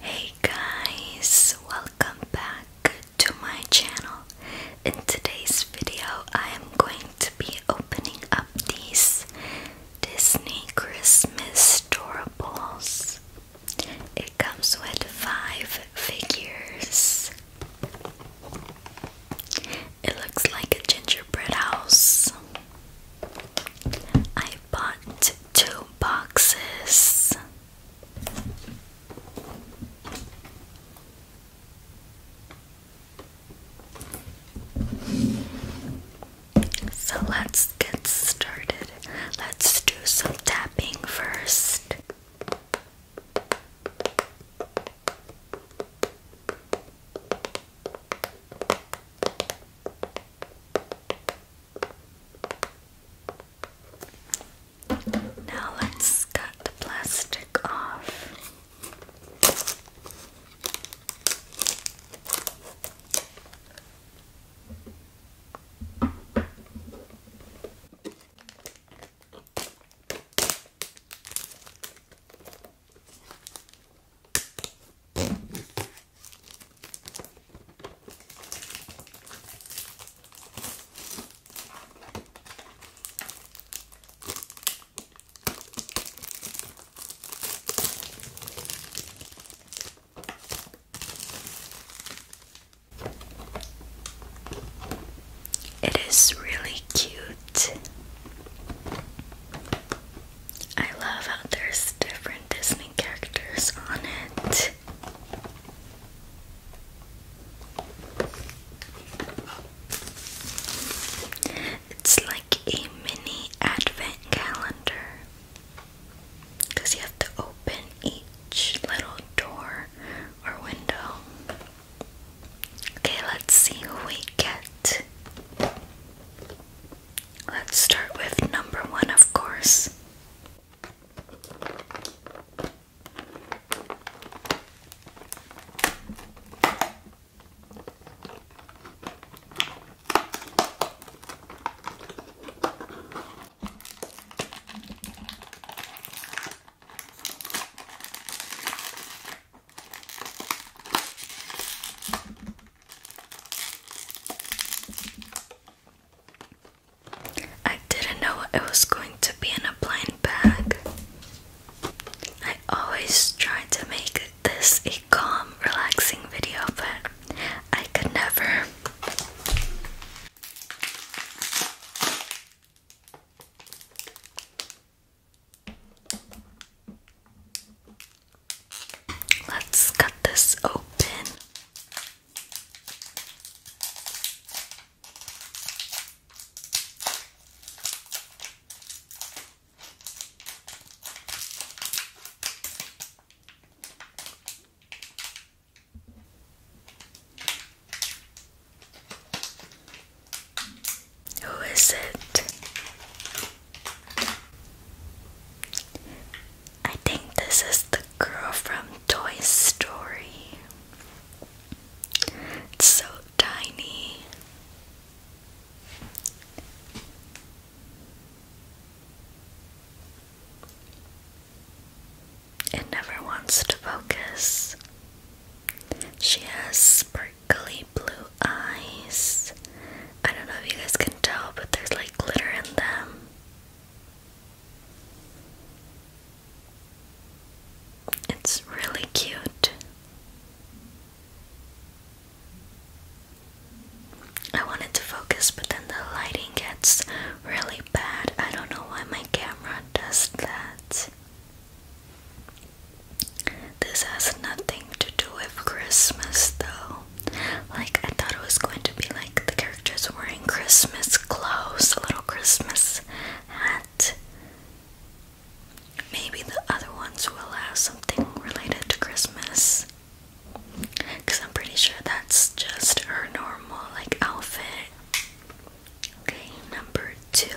Hey guys, welcome back to my channel. In today's video, I am going to be opening up these Disney Christmas Storables. It comes with five figures. It looks like a gingerbread house. I bought two boxes. So let's get started. Let's do some tapping first. Now let's cut the plastic off. It is really cute. I love how there's different Disney characters on it. It's like a mini advent calendar because you have to open each little door or window. Okay, let's see who we get. Let's start with number one, of course. I didn't know it was going to be in a blind bag. I always try to make this a calm, relaxing video, but I could never. Let's cut this open. Who is it? I think this is the girl from Toy Story. It's so tiny. It never wants to focus. She has sparkly blue eyes I don't know if you guys can tell, but there's like glitter in them. It's really cute. I wanted to focus, but then the lighting gets really bad. I don't know why my camera does that. This has nothing to do with Christmas, though. Like, I thought it was going to be like the characters wearing Christmas clothes, a little Christmas hat. Maybe the other ones will have something related to Christmas. Because I'm pretty sure that's just her normal, like, outfit. Okay, number two.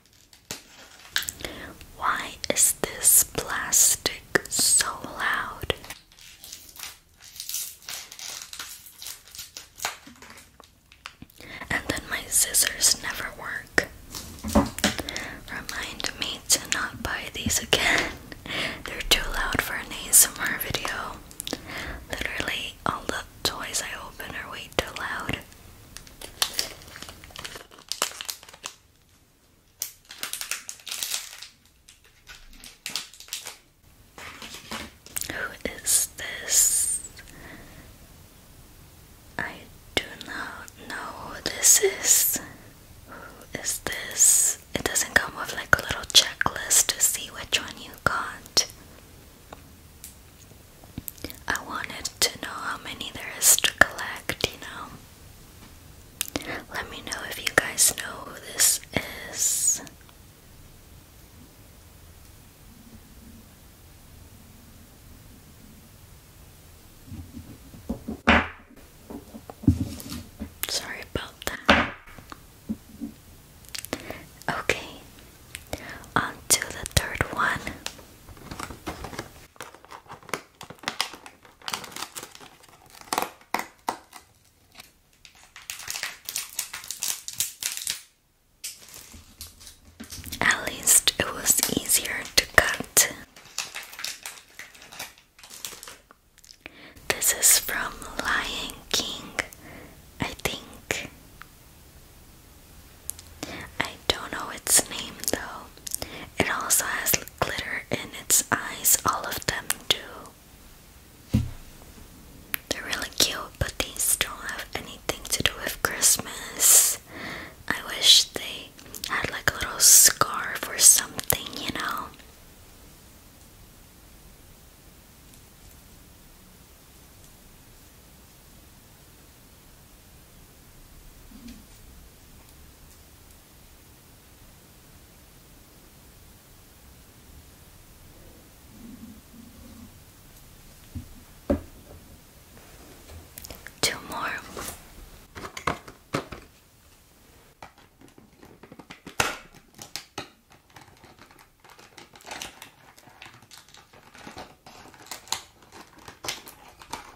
Why is this plastic so loud? And then my scissors never work. Remind me to not buy these again. They're too loud for an ASMR video. Literally, all the toys I open are way too loud. Who is this? I do not know who this is. Who is this? It doesn't come with like a little checklist to see which one you got. I wanted to know how many there is to collect, you know. Let me know if you guys know who this is. Sorry about that. Okay, on the third one. At least it was easier to cut. This is from Lion King, I think. I don't know its name though. It also has glitter in its eyes, all of them do. They're really cute, but these don't have anything to do with Christmas. I wish they had like a little scarf or something, you know. Two more.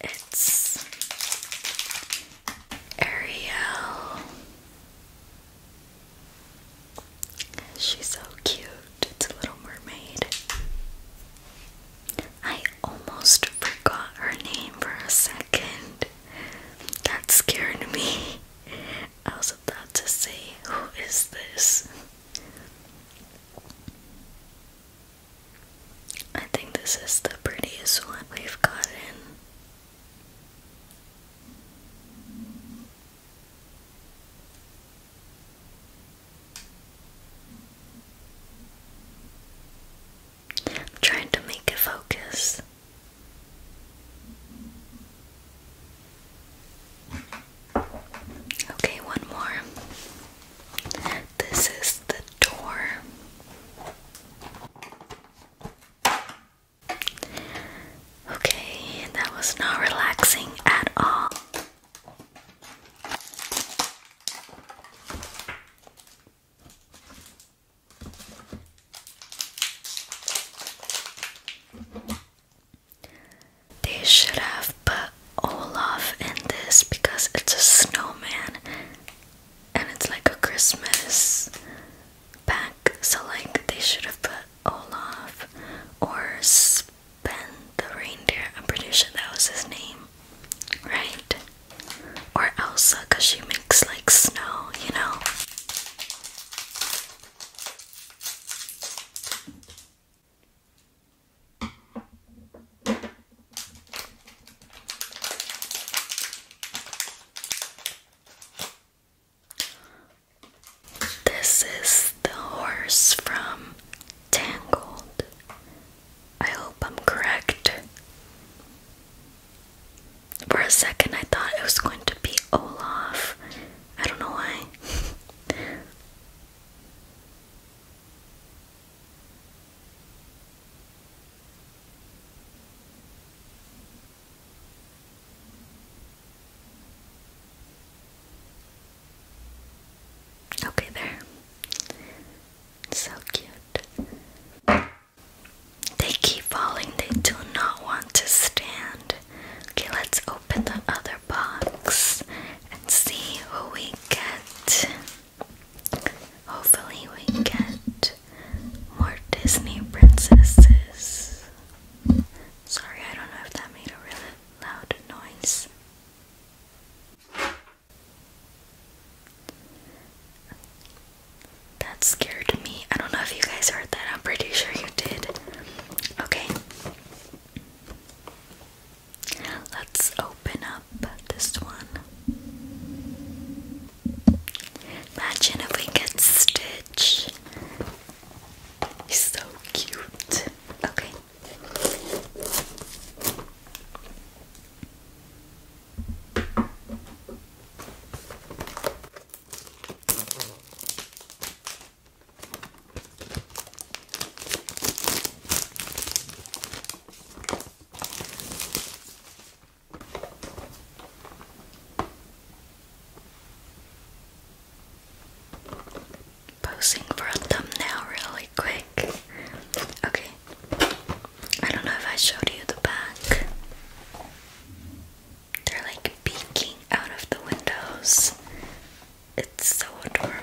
It's Ariel. She's so cute. It's a little mermaid. I almost forgot her name for a second. That scared me. I was about to say, Who is this? I think this is the prettiest one we've gotten. trying to make it focus. Okay, one more. This is the door. Okay, that was not relaxing at all. They should have put Olaf in this because it's a snowman and it's like a Christmas pack, so like they should have put Olaf or Ben the reindeer. I'm pretty sure that was his name, right? Or Elsa, because she makes like snow, you know. This is the horse from Tangled. I hope I'm correct. For a second, I thought it was going to be Olaf. I don't know why. Okay, there. So cute. They keep falling, they do not want to stand. Okay, let's open the other box and see what we get. Hopefully, we get more Disney princesses. Sorry, I don't know if that made a really loud noise. That scared me. I don't know if you guys heard that. I'm pretty sure you did. Okay. Let's open up but this one. Imagine if we get Stitch. He's so cute. Okay. Posing for a thumbnail really quick. Okay. I don't know if I showed you the back. They're like peeking out of the windows. It's so adorable.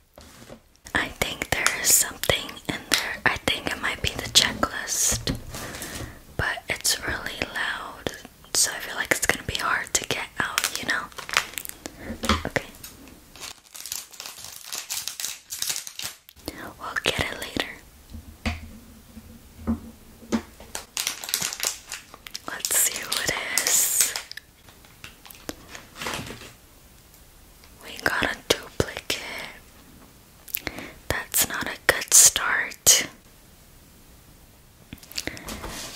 I think there is something in there. I think it might be the checklist, but it's really loud, so I feel like it's gonna be hard to get out, you know? Okay. We'll get it later. Let's see what it is. We got a duplicate. That's not a good start.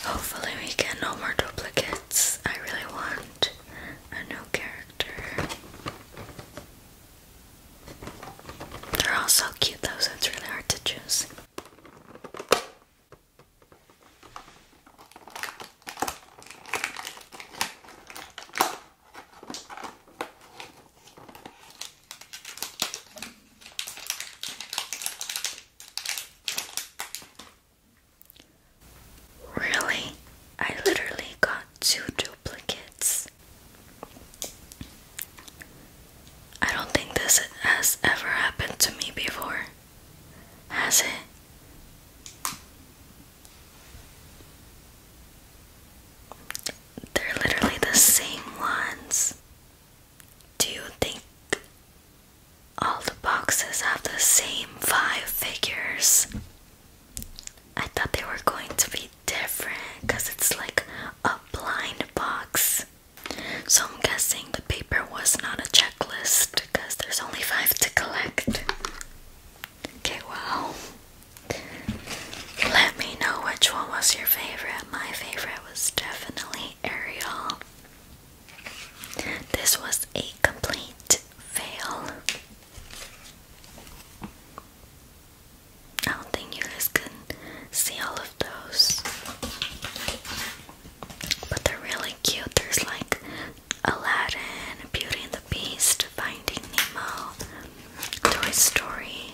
Hopefully, we get no more duplicates. I really want a new character. They're all so cute, though, it's really hard to choose. Really? I literally got two duplicates. I don't think this has ever happened to me before. Has it? They're literally the same ones. Do you think all the boxes have the same five figures? I thought they were going to be different because it's like a blind box. So I'm guessing the paper was not a checklist because there's only five to collect. Okay, well, let me know which one was your favorite. My favorite was definitely Ariel. This was a complete fail. I don't think you guys can see all of those. But they're really cute. There's like Aladdin, Beauty and Beast, Finding Nemo, Toy Story,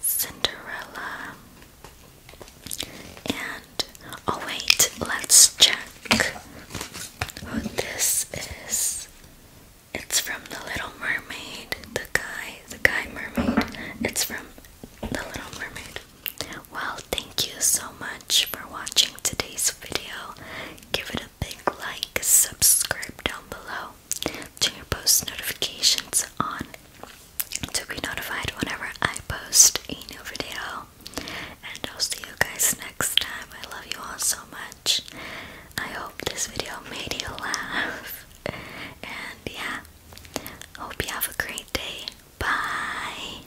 Cinderella, and oh, wait, let's check who this is. It's from The Little Mermaid, the guy, the guy mermaid. It's from The Little Mermaid. Well, thank you so much for watching today's video. Give it a big like, subscribe down below, turn your post notifications on to be notified whenever I post a new video. And I'll see you guys next time. I love you all so much. I hope this video made you laugh. And yeah, hope you have a great day. Bye.